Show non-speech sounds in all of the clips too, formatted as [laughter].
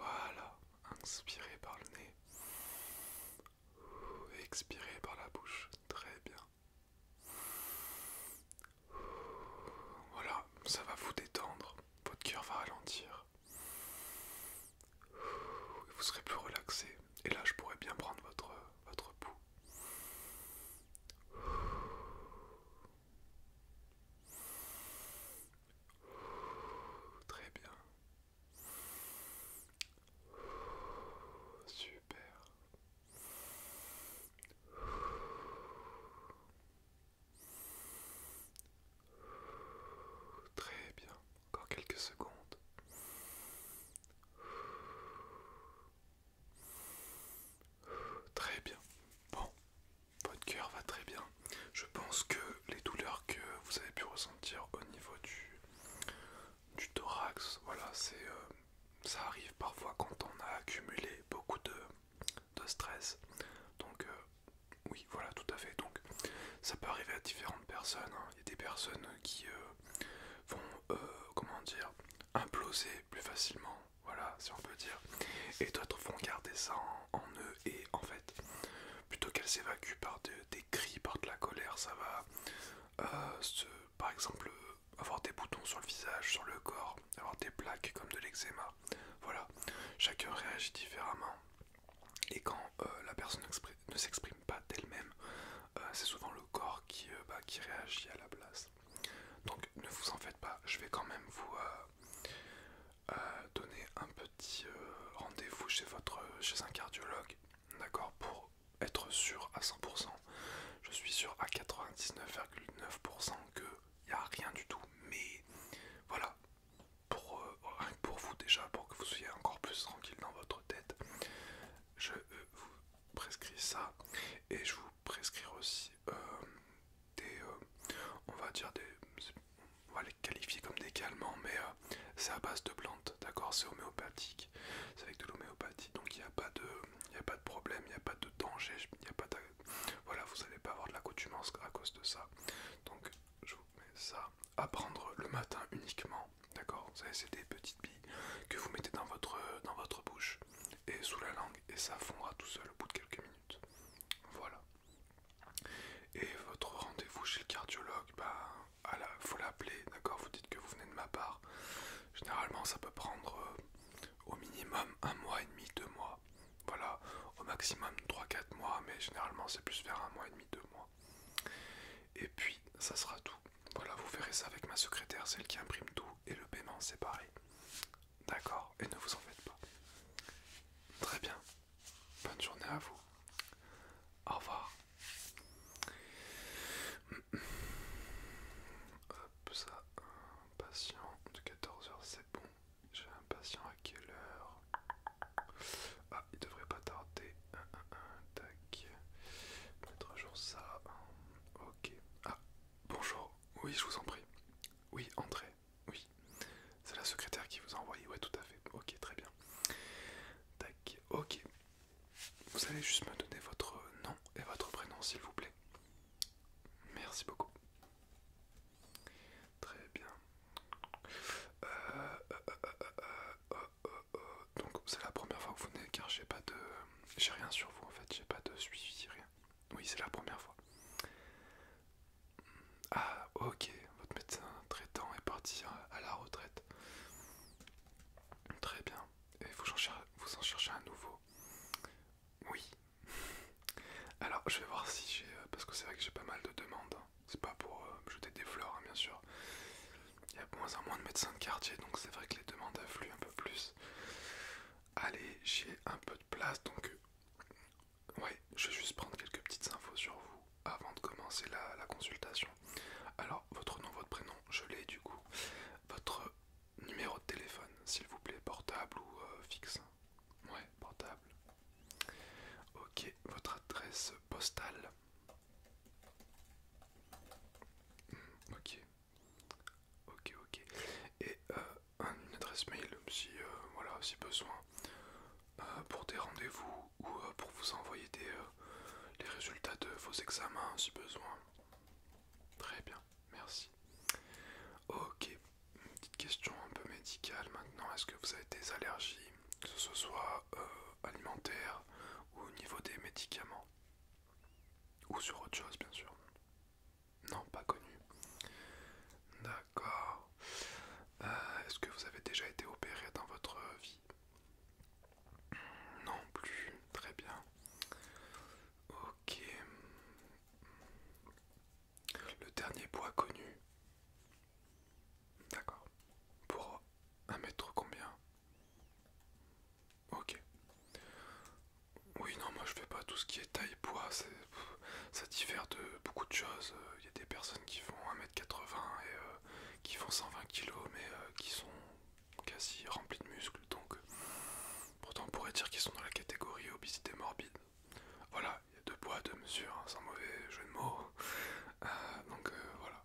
Voilà, inspirez par le nez, expirez par la bouche, très bien. Voilà, ça va vous détendre, votre cœur va ralentir. Vous serez plus relaxé et là je pourrais bien prendre votre, votre pouls. Très bien. Super. Très bien. Encore quelques secondes. Très bien. Bon, votre cœur va très bien. Je pense que les douleurs que vous avez pu ressentir au niveau du, du thorax, voilà, c'est euh, ça arrive parfois quand on a accumulé beaucoup de, de stress. Donc euh, oui, voilà, tout à fait. Donc ça peut arriver à différentes personnes. Hein. Il y a des personnes qui euh, vont, comment dire, imploser plus facilement, voilà, si on peut dire, et d'autres vont garder ça en, eux et en fait plutôt qu'elle s'évacue par des cris, par de la colère, ça va euh, se, par exemple avoir des boutons sur le visage, sur le corps, avoir des plaques comme de l'eczéma. Voilà, chacun réagit différemment. Et quand euh, la personne ne s'exprime pas d'elle-même, euh, c'est souvent le corps qui, bah, qui réagit à la place. Donc ne vous en faites pas, je vais quand même vous, euh, donner un petit euh, rendez-vous chez, votre, chez un cardiologue, d'accord, pour être sûr à 100%. Je suis sûr à 99,9% qu'il n'y a rien du tout, mais voilà, pour, euh, pour vous déjà, pour que vous soyez encore plus tranquille dans votre tête, je vous prescris ça et je vous prescris aussi des, on va dire des on va les qualifier comme des calmants, mais euh, c'est à base de plantes, d'accord C'est homéopathique, c'est avec de l'homéopathie, donc il n'y a, pas de, y a pas de problème, il n'y a pas de danger, y a pas voilà, vous n'allez pas avoir de l'accoutumance à cause de ça. Donc je vous mets ça à prendre le matin uniquement, d'accord Vous savez, c'est des petites billes que vous mettez dans votre, dans votre bouche et sous la langue, et ça fondra tout seul au bout de quelques minutes. Voilà. Et votre rendez-vous chez le cardiologue, bah, à faut l'appeler, d'accord Vous dites que vous venez de ma part. Généralement, ça peut prendre euh, au minimum un mois et demi, deux mois. Voilà, au maximum 3-4 mois, mais généralement, c'est plus vers un mois et demi, deux mois. Et puis, ça sera tout. Voilà, vous verrez ça avec ma secrétaire, celle qui imprime tout, et le paiement, c'est pareil. D'accord Et ne vous en faites pas. Très bien. Bonne journée à vous. Au revoir. Hop, ça, un patient de 14h, c'est bon. J'ai un patient à quelle heure Ah, il devrait pas tarder. Un, un, un, à jour ça. Ok. Ah, bonjour. Oui, je vous en prie. Oui, entrez. Oui, c'est la secrétaire qui vous a envoyé, ouais, tout à fait. Ok, très bien. Tac, ok. Vous allez juste me donner votre nom et votre prénom, s'il vous plaît. Merci beaucoup. Très bien. Euh, euh, euh, Donc, c'est la première fois que vous venez car j'ai pas de. J'ai rien sur vous en fait, j'ai pas de suivi, rien. Oui, c'est la première fois. Ah, ok, votre médecin traitant est parti hein, à la retraite. Très bien. Et vous en, cherchez, vous en un nouveau Oui. [laughs] Alors, je vais voir si j'ai. Euh, parce que c'est vrai que j'ai pas mal de demandes. Hein. C'est pas pour euh, jeter des fleurs, hein, bien sûr. Il y a moins en moins de médecins de quartier, donc c'est vrai que les demandes affluent un peu plus. Allez, j'ai un peu de place, donc Ouais, je vais juste prendre quelques petites infos sur vous avant de commencer la, consultation. Alors, votre nom, votre prénom, je l'ai du coup. Votre numéro de téléphone, s'il vous plaît, portable ou euh, fixe Ouais, portable. Ok, votre adresse postale. Hmm, ok. Ok, ok. Et euh, une adresse mail, si, euh, voilà, si besoin. Euh, pour des rendez-vous ou euh, pour vous envoyer des, euh, les résultats de vos examens si besoin. Très bien, merci. Ok, petite question un peu médicale maintenant. Est-ce que vous avez des allergies, que ce soit alimentaire ou au niveau des médicaments Ou sur autre chose, bien sûr. Non, pas connu. D'accord. Euh, est-ce que vous avez déjà été opéré dans votre vie Non plus. Très bien. Ok. Le dernier poids connu. D'accord. Pour un mètre combien Ok. Oui, non, moi je fais pas tout ce qui est taille-poids, ça diffère de beaucoup de choses. Euh, il euh, y a des personnes qui font 1m80 et euh, qui font 120 kg mais euh, qui sont quasi remplis de muscles donc pourtant on pourrait dire qu'ils sont dans la catégorie obésité morbide voilà il y a deux poids deux mesures hein, sans mauvais jeu de mots donc voilà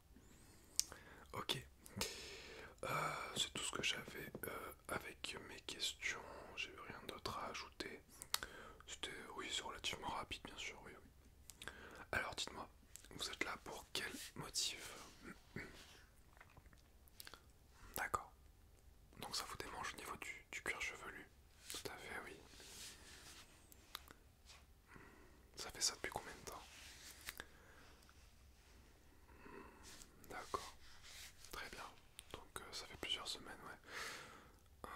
ok c'est tout ce que j'avais avec mes questions j'ai rien d'autre à ajouter c'était oui c'est relativement rapide bien sûr alors dites-moi, vous êtes là pour quel motif D'accord. Donc ça vous démange au niveau du, cuir chevelu. Tout à fait, oui. Ça fait ça depuis combien de temps D'accord. Très bien. Donc euh, ça fait plusieurs semaines, ouais.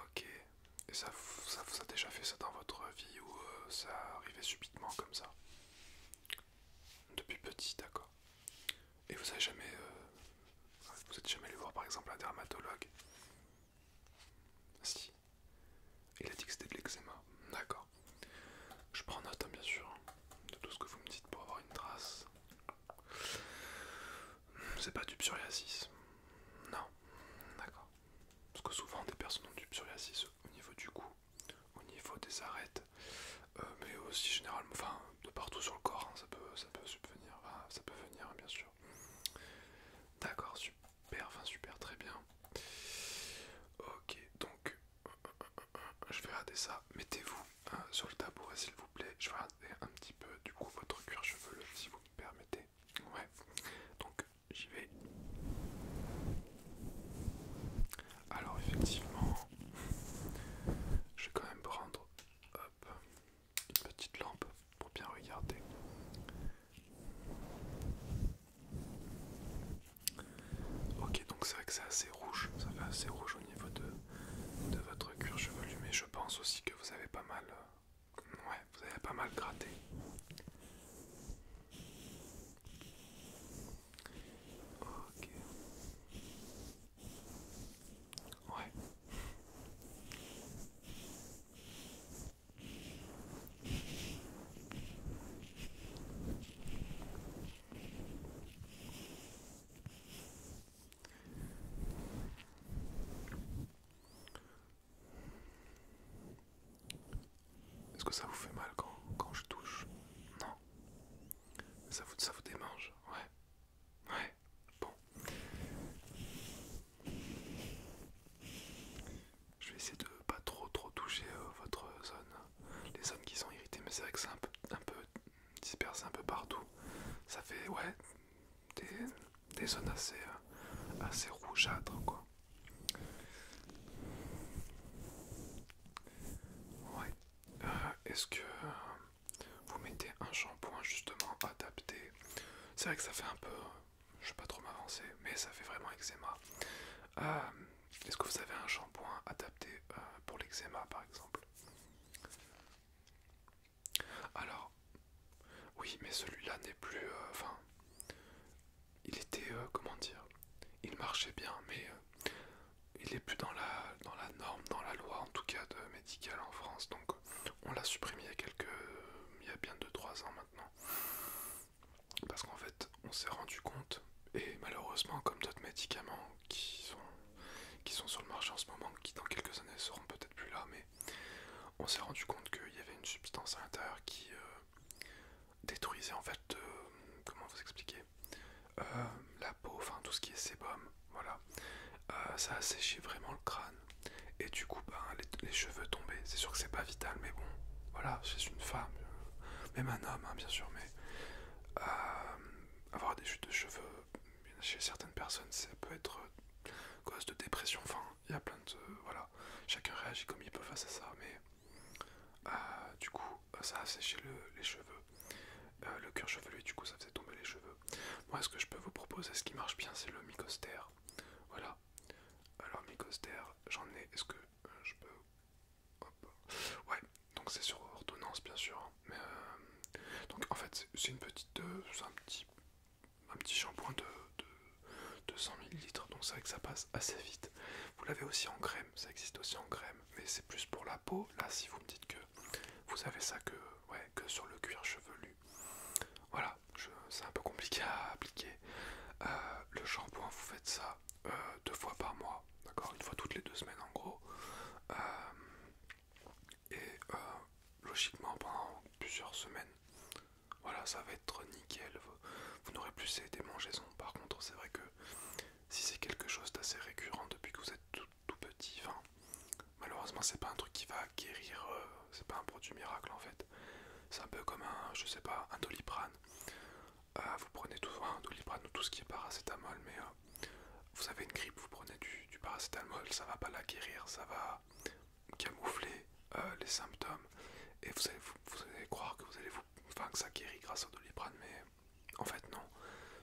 Ok. Et ça, ça vous a déjà fait ça dans votre vie ou euh, ça arrivait subitement comme ça Depuis petit, d'accord. Et vous avez jamais, euh, vous êtes jamais allé voir par exemple un dermatologue Si. Il a dit que c'était de l'eczéma, d'accord. Je prends note hein, bien sûr hein, de tout ce que vous me dites pour avoir une trace. C'est pas du psoriasis. Non, d'accord. Parce que souvent des personnes ont du psoriasis au niveau du cou, au niveau des arêtes, euh, mais aussi généralement, enfin de partout sur le corps, hein, ça peut ça peut subvenir, ça peut venir bien sûr. D'accord, super, enfin super, très bien. Ok, donc je vais rater ça. Mettez-vous hein, sur le tabouret s'il vous plaît. Je vais regarder un petit peu du coup votre cuir chevelu si vous me permettez ouais. Donc j'y vais. Alors effectivement, je vais quand même prendre une petite lampe pour bien regarder. Ok, donc c'est vrai que c'est assez rouge, ça fait assez rouge au niveau de, de votre cuir chevelu, mais je pense aussi que vous avez pas mal euh, Ouais, vous avez pas mal gratté. Ouais. Est-ce que ça vous fait mal quand, je touche Non. Ça vous, ça vous démange Ouais. Ouais. Bon. Je vais essayer de pas trop trop toucher euh, votre zone. Les zones qui sont irritées, mais c'est vrai que c'est un peu, dispersé un peu partout. Ça fait, ouais, des, zones assez, euh, assez rougeâtres quoi. Euh, est-ce que euh, vous mettez un shampoing justement adapté C'est vrai que ça fait un peu... Je ne vais pas trop m'avancer, mais ça fait vraiment eczéma. Euh, est-ce que vous avez un shampoing adapté pour l'eczéma par exemple Alors, oui, mais celui-là n'est plus... Enfin, il était, euh, comment dire, il marchait bien, mais euh, il n'est plus dans la, dans la norme, dans la loi en tout cas de médical en France, donc on l'a supprimé il y a quelques, il y a bien 2-3 ans maintenant, parce qu'en fait on s'est rendu compte, et malheureusement comme d'autres médicaments qui sont qui sont sur le marché en ce moment, qui dans quelques années seront peut-être plus là, mais on s'est rendu compte qu'il y avait une substance à l'intérieur qui euh, euh, détruisait en fait, euh, comment vous expliquer, euh, la peau, enfin tout ce qui est sébum, voilà. ça a séché vraiment le crâne et du coup ben, les, cheveux tombés. C'est sûr que c'est pas vital, mais bon, voilà, c'est une femme, même un homme hein, bien sûr, mais avoir des chutes de cheveux chez certaines personnes, ça peut être cause de dépression, enfin il y a plein de. Voilà, chacun réagit comme il peut face à ça, mais euh, du coup, ça a séché les cheveux, euh, le cuir chevelu, du coup, ça faisait tomber les cheveux. Moi, ce que je peux vous proposer, ce qui marche bien, c'est le Mycoster. Voilà, alors Mycoster, j'en ai. Est-ce que euh, je peux. Hop. Ouais, donc c'est sur ordonnance, bien sûr. Hein, mais, Donc, en fait, c'est une petite. c'est un petit. Un petit shampoing de, 200 ml, donc c'est vrai que ça passe assez vite. Vous l'avez aussi en crème, ça existe aussi en crème, mais c'est plus pour la peau. Là, si vous me dites que vous avez ça que, ouais, que sur le cuir chevelu, voilà, c'est un peu compliqué à appliquer. Euh, le shampoing, vous faites ça euh, deux fois par mois, d'accord Une fois toutes les deux semaines en gros. Euh, et logiquement pendant plusieurs semaines voilà, ça va être nickel. Vous, n'aurez plus ces démangeaisons. Par contre, c'est vrai que si c'est quelque chose d'assez récurrent depuis que vous êtes tout, petit, malheureusement, c'est pas un truc qui va acquérir. Euh, c'est pas un produit miracle en fait. C'est un peu comme un, je sais pas, un doliprane. Euh, vous prenez tout, un doliprane ou tout ce qui est paracétamol, mais euh, vous avez une grippe, vous prenez du, paracétamol, ça va pas l'acquérir, ça va camoufler euh, les symptômes et vous allez, vous, allez croire que vous allez vous enfin que ça guérit grâce au doliprane mais en fait non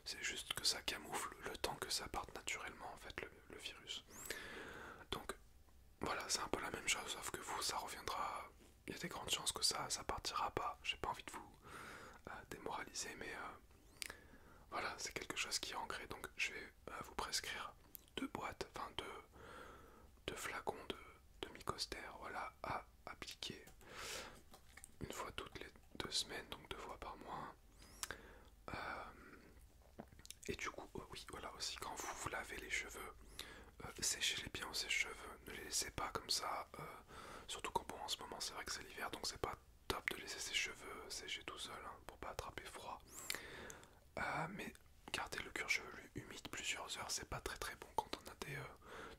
c'est juste que ça camoufle le temps que ça parte naturellement en fait le, virus donc voilà c'est un peu la même chose sauf que vous ça reviendra il y a des grandes chances que ça ça partira pas j'ai pas envie de vous euh, démoraliser mais euh, voilà c'est quelque chose qui est ancré donc je vais vous prescrire deux boîtes enfin deux de flacons de, demi voilà, à appliquer une fois toutes les deux semaines, donc deux fois par mois. Euh, et du coup, oh oui, voilà aussi, quand vous vous lavez les cheveux, euh, séchez-les bien ses cheveux ne les laissez pas comme ça, euh, surtout quand bon, en ce moment c'est vrai que c'est l'hiver, donc c'est pas top de laisser ses cheveux sécher tout seul hein, pour pas attraper froid. mais garder le cuir chevelu humide plusieurs heures, c'est pas très très bon quand on a des, euh,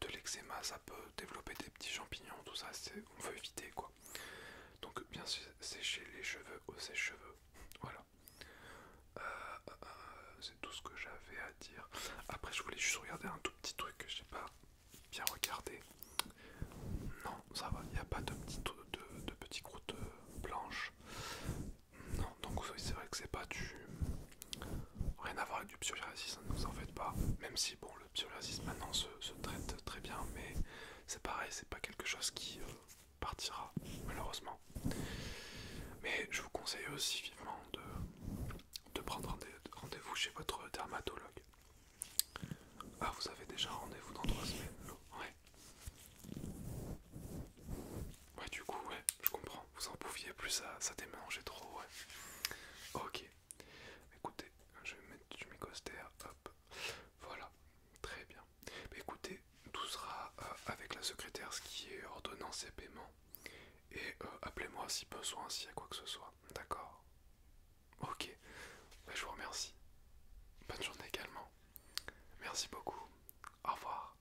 de l'eczéma, ça peut développer des petits champignons, tout ça, on veut éviter quoi. Donc bien sécher les cheveux au sèche-cheveux, [laughs] voilà. Euh, euh, c'est tout ce que j'avais à dire. Après, je voulais juste regarder un tout petit truc que j'ai pas bien regardé. Non, ça va, il n'y a pas de, petites de, de croûtes blanches. Non, donc c'est vrai que c'est pas du. Rien à voir avec du psoriasis, hein, ne vous en faites pas. Même si, bon, le psoriasis maintenant se, traite très bien, mais c'est pareil, c'est pas quelque chose qui euh, partira, malheureusement. Mais je vous conseille aussi vivement de, de prendre rendez-vous chez votre dermatologue. Ah, vous avez déjà rendez-vous dans trois semaines Ouais. Ouais, du coup, ouais, je comprends vous en pouviez plus, ça, ça trop, ouais. Ok, écoutez, je vais mettre du micostère, hop, voilà, très bien. écoutez, tout sera euh, avec la secrétaire, ce qui est ordonnance et paiement. Et euh, appelez-moi si besoin, soit ainsi, à quoi que ce soit, d'accord Ok, ben, je vous remercie. Bonne journée également. Merci beaucoup. Au revoir.